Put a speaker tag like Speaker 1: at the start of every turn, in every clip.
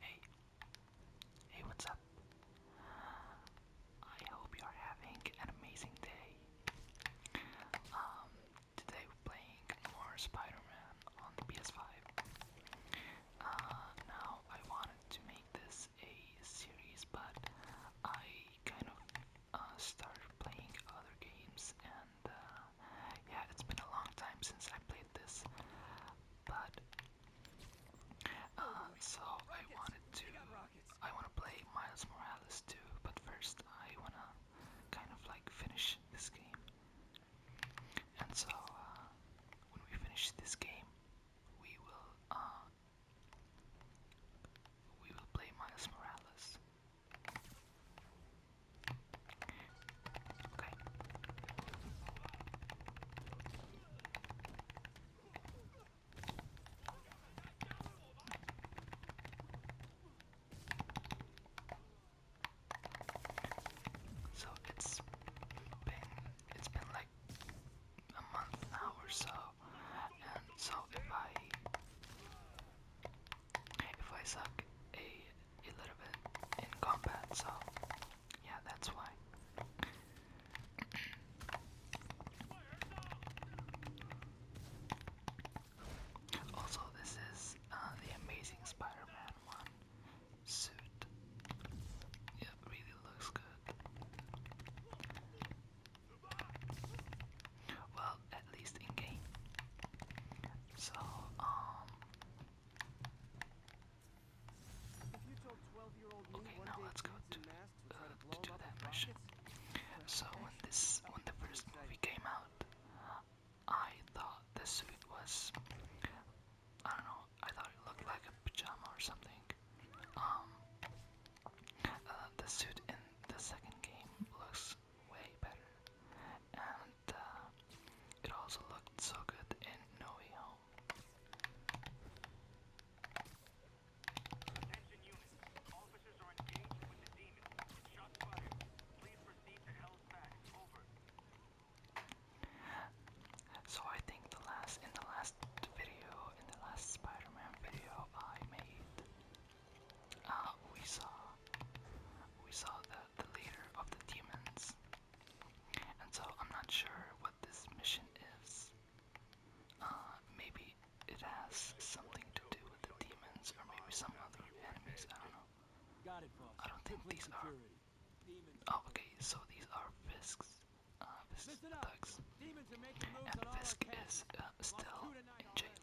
Speaker 1: Hey, hey, what's up? I hope you're having an amazing day. Um, today playing more Spider-Man on the PS5. Uh, now I wanted to make this a series, but I kind of uh, started playing other games and uh, yeah, it's been a long time since I played this, but uh, so I wanted to, I want to play Miles Morales too, but first I wanna kind of like finish this game, and so uh, when we finish this game, we will we will play Miles Morales. Okay. So it's been it's been like a month now or so and so if I if I suck a a little bit in combat, so yeah, that's why. Also, this is uh, the Amazing Spider-Man suit. It really looks good. Well, at least in game. So um, Okay, now let's go to, uh, to do that mission. So when this, when the first movie came out, I thought the suit was, I don't know, I thought it looked like a pajama or something. Um, uh, the suit in the second game looks way better, uh, it also looked so good in No Way Home. So I think the last in the last video, in the last Spider-Man video I made, uh, we saw we saw the the leader of the demons, and so I'm not sure what this mission is. Uh, maybe it has something to do with the demons, or maybe some other enemies. I don't know. I don't think these are. Oh, okay. So these are Fisk's. Uh, thugs. And Fisk is still in jail.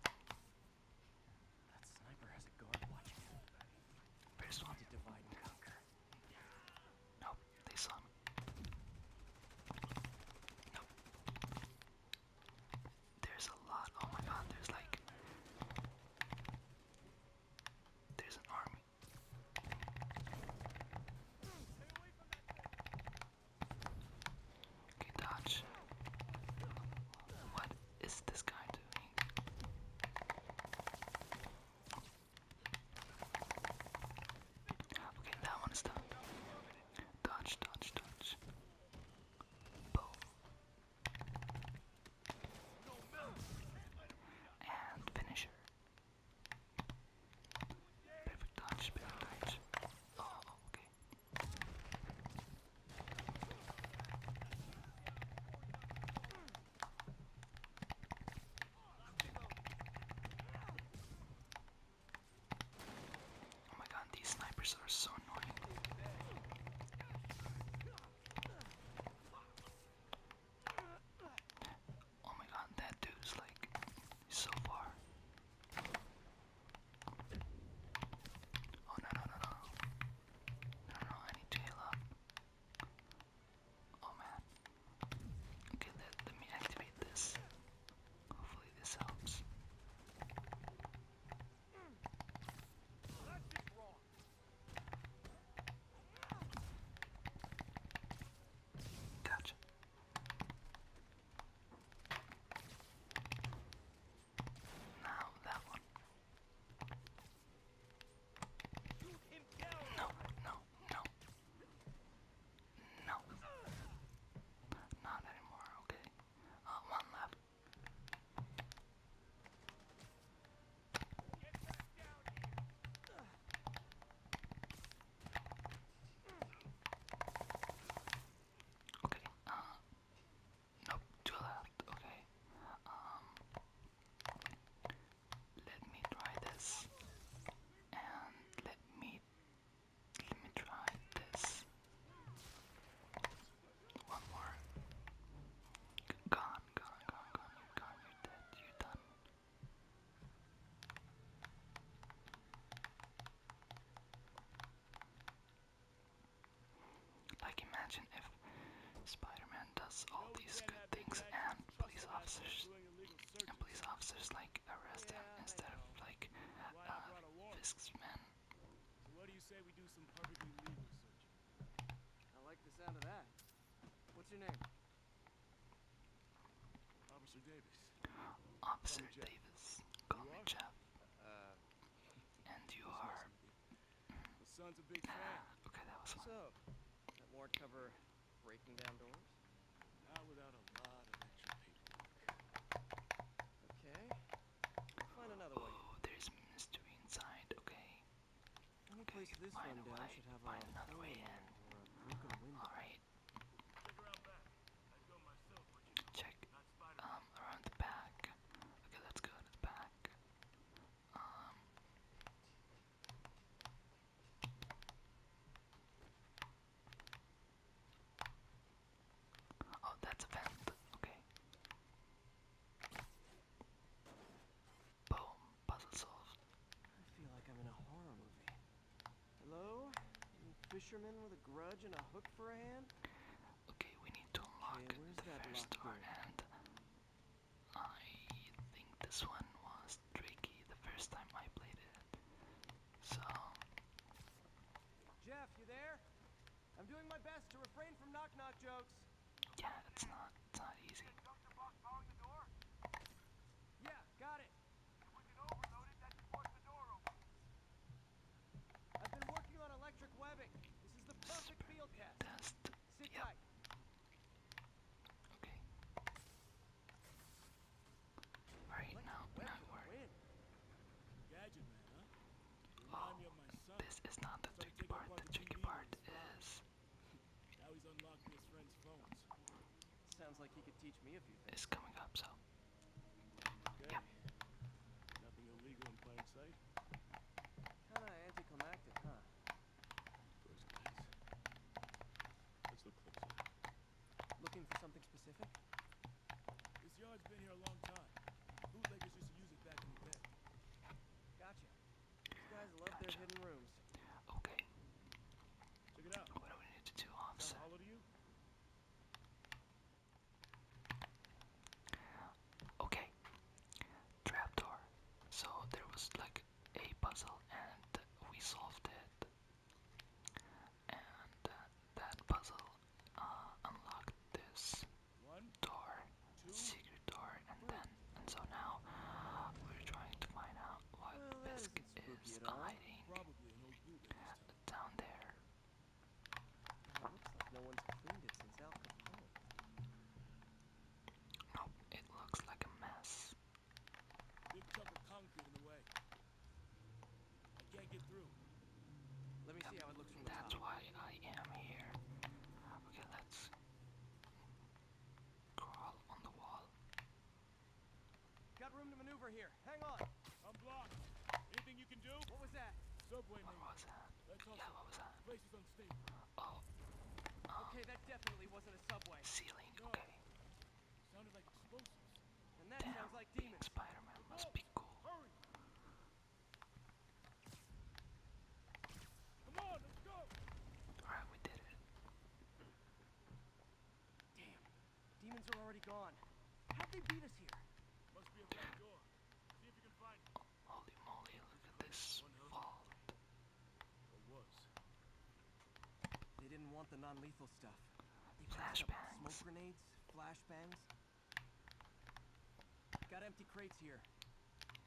Speaker 1: That sniper has a guard watching him. We just want to divide and conquer. Nope, they saw him. Nope. There's a lot. Oh my god, there's like. There's an army. Stay away from that Okay, dodge. What is this guy doing? Okay, that one is done. Dodge, dodge, dodge. Boom. And finisher. Perfect touch, perfect touch. Oh, oh my god, these snipers are so annoying. Oh my god, that dude's like so far. Oh no no no no. No no, I need to Oh man. Okay, let, let me activate this. Hopefully this helps. Gotcha. Now that one. No, no, no. No. Not anymore, okay. Uh, one left. Okay, uh, nope, to the okay. Um, let me try this, and let me, let me try this. One more. Gone, gone, gone, gone, you gone, you done. Like, imagine if spider does all these good things and police officers police officers like arrest him instead of like uh, Fisk's men. What's your name? Officer Davis. Call me Jeff. Uh,
Speaker 2: and you are.
Speaker 1: Ah, okay, that was fun. So, cover breaking down doors? Okay. find another oh, one. Oh, there's mystery inside. Okay. Any place this one down should have find a way in. Or a broken window. Alright. Check um, around the back. Okay, let's the back. Um. Oh, that's a vent. Okay. Boom. Puzzle solved. I feel like I'm in a horror movie. Hello? You fisherman with a grudge and a hook for a hand? Okay, we need to unlock the first door and I think this one was tricky the first time I played it. So Jeff, you there? I'm doing my best to refrain from knock knock jokes yeah, it's not not easy. Yeah, got it. I've been working on electric webbing. This is the perfect field test. Sit tight. Okay. Alright, now, now we Oh, this is not the tricky part. The tricky part is now he's unlocking his friend's phones. Sounds like he could teach me a few things. It's coming up, so. Okay. Nothing illegal in plain sight. Kinda anticlimactic, huh? First class. Let's look closer. Looking for something specific? This yard's been here a long time. Bootleggers used use it back in the day. Gotcha. Gotcha. Okay. Check it out. What do we need to do offset? How old are So there was like a puzzle and we solved it. And uh, that puzzle uh, unlocked this door, secret door, and then, and so now we're trying to find out what well, is hiding down there. Nope, it looks like a mess. That's why I am here. Okay, let's Got room to maneuver here. Hang on. I'm blocked. Anything you can do? What was that? Subway. What yeah, what was that? Oh. oh. okay, that definitely wasn't a subway. Ceiling. Okay. Damn. sounds Spider-Man must be cool. Come on, let's go. Alright, we did it. Damn. Demons are already gone. How'd they beat us here? Must be a back door. See if you can find it. Holy moly, look at this vault. It was. They didn't want the non-lethal stuff. Flashbangs. Smoke grenades, flashbangs, Got empty crates here.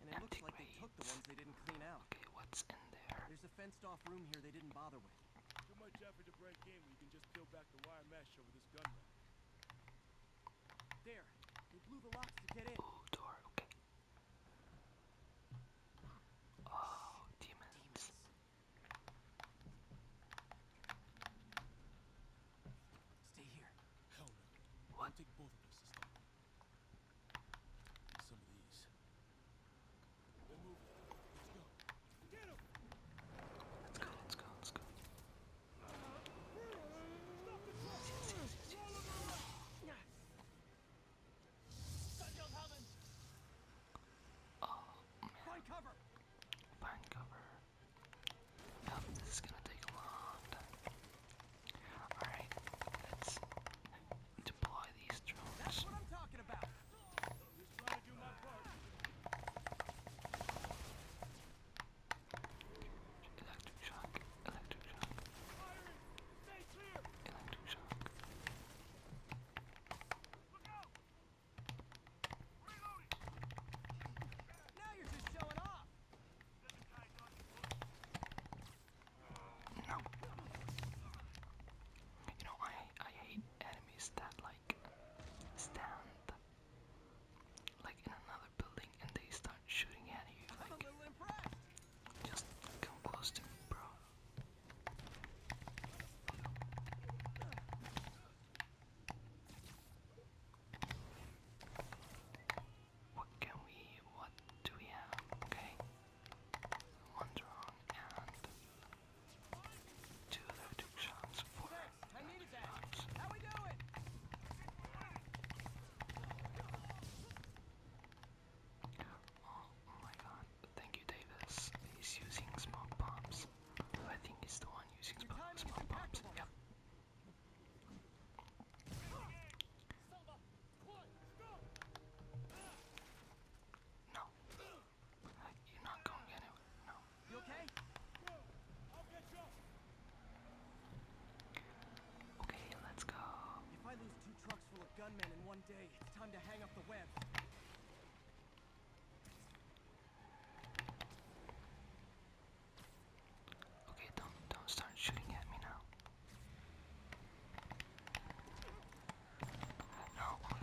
Speaker 1: And it empty looks like crates. they took the ones they didn't clean out. Okay, what's in there? There's a fenced off room here they didn't bother with. Too much effort to break in when you can just peel back the wire mesh over this gun rack. There. They blew the locks to get in. Ooh, door, okay. Oh, demons. demons. Stay here. Hell no. What? take both of Let's go. Let's go, let's go, Stop oh, Find cover! Find cover. Yep, this is gonna take a long time. Alright, let's deploy these drones. That's what I'm talking about. Just trying to do my part. Electric shock, electric shock. Firing! Stay clear! Electric shock. Look out! Reloading! Now you're just showing off! No. You know, I I hate enemies that like stand like in another building and they start shooting at you. Like, Just come close to me, bro. What can we what do we have? Okay. One wrong and two left shots for Oh my god. Thank you Davis. He's using smoke bombs. I think he's the one using smoke bombs. Yep. No. You're not going anywhere. No. okay? Okay, let's go. If I lose two trucks full of gunmen in one day, it's time to hang up the web. Okay, don't don't start shooting at me now. No, oh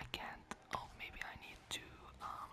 Speaker 1: I can't. Oh, maybe I need to um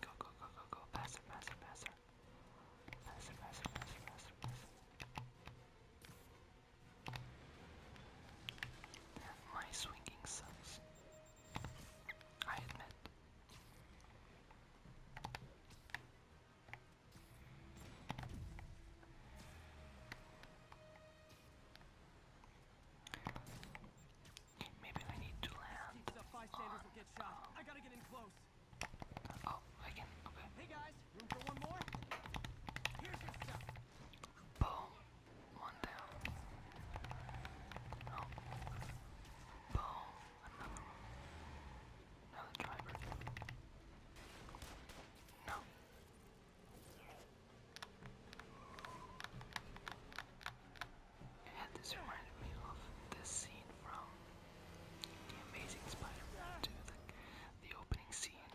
Speaker 1: Go, go, go, go, go. Pass her, pass her, pass her. Pass her, pass her, pass her, pass her, pass her. My swinging sucks. I admit. Maybe we need to land. will get shot. I gotta get in close. Oh, I can. Hey guys, room for one more? Here's your stuff. Boom. One down. Oh. Boom. Another one. Another driver. No. And this reminded me of this scene from The Amazing Spider-Man 2, the, opening scene.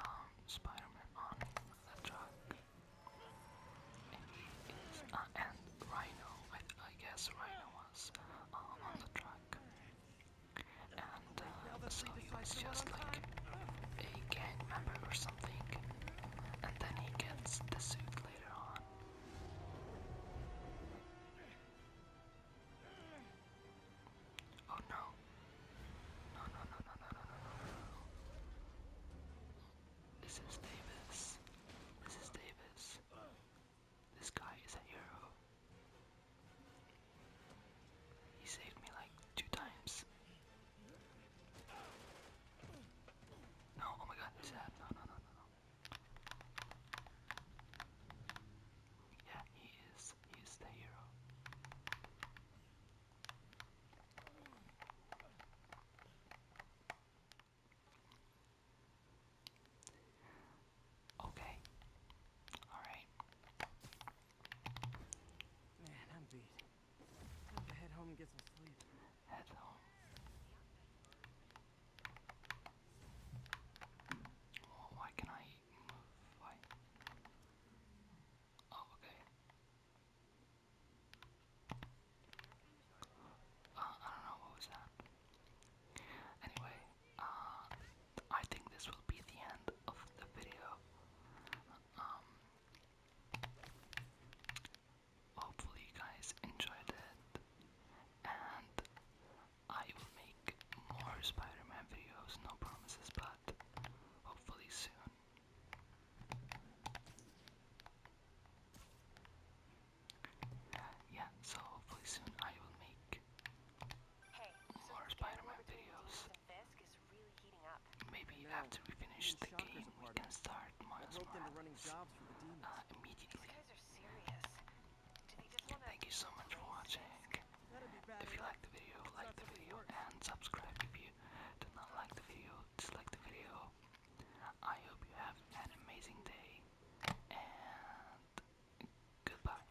Speaker 1: Um, Spider-Man on the truck. And uh, Rhino, I, guess Rhino was um, on the truck. And uh, so he was just like a gang member or something. And then he gets the suit later on. Oh No, no, no, no, no, no, no, no. This is Davis. This is Davis. This guy is a hero. He saved me like two times. No, oh my god, this that. No, no, no, no, Yeah, he is. He the hero. Okay. All right. Man, I'm beat. have to head home and get some sleep. Head home. Oh, why can I eat? Oh, okay. Uh, I don't know what was that. Anyway, uh, I think this will be the end of the video. Um, hopefully you guys enjoyed it, and I will make more Spider-Man videos. No promises, but hopefully soon. Yeah, so hopefully soon I will make more Spider-Man videos. Maybe after we finish the game, we can start Miles Morales uh, immediately. Thank you so much for watching. If you liked the video, like the video and subscribe. If you did not like the video, dislike the video. I hope you have an amazing day and goodbye.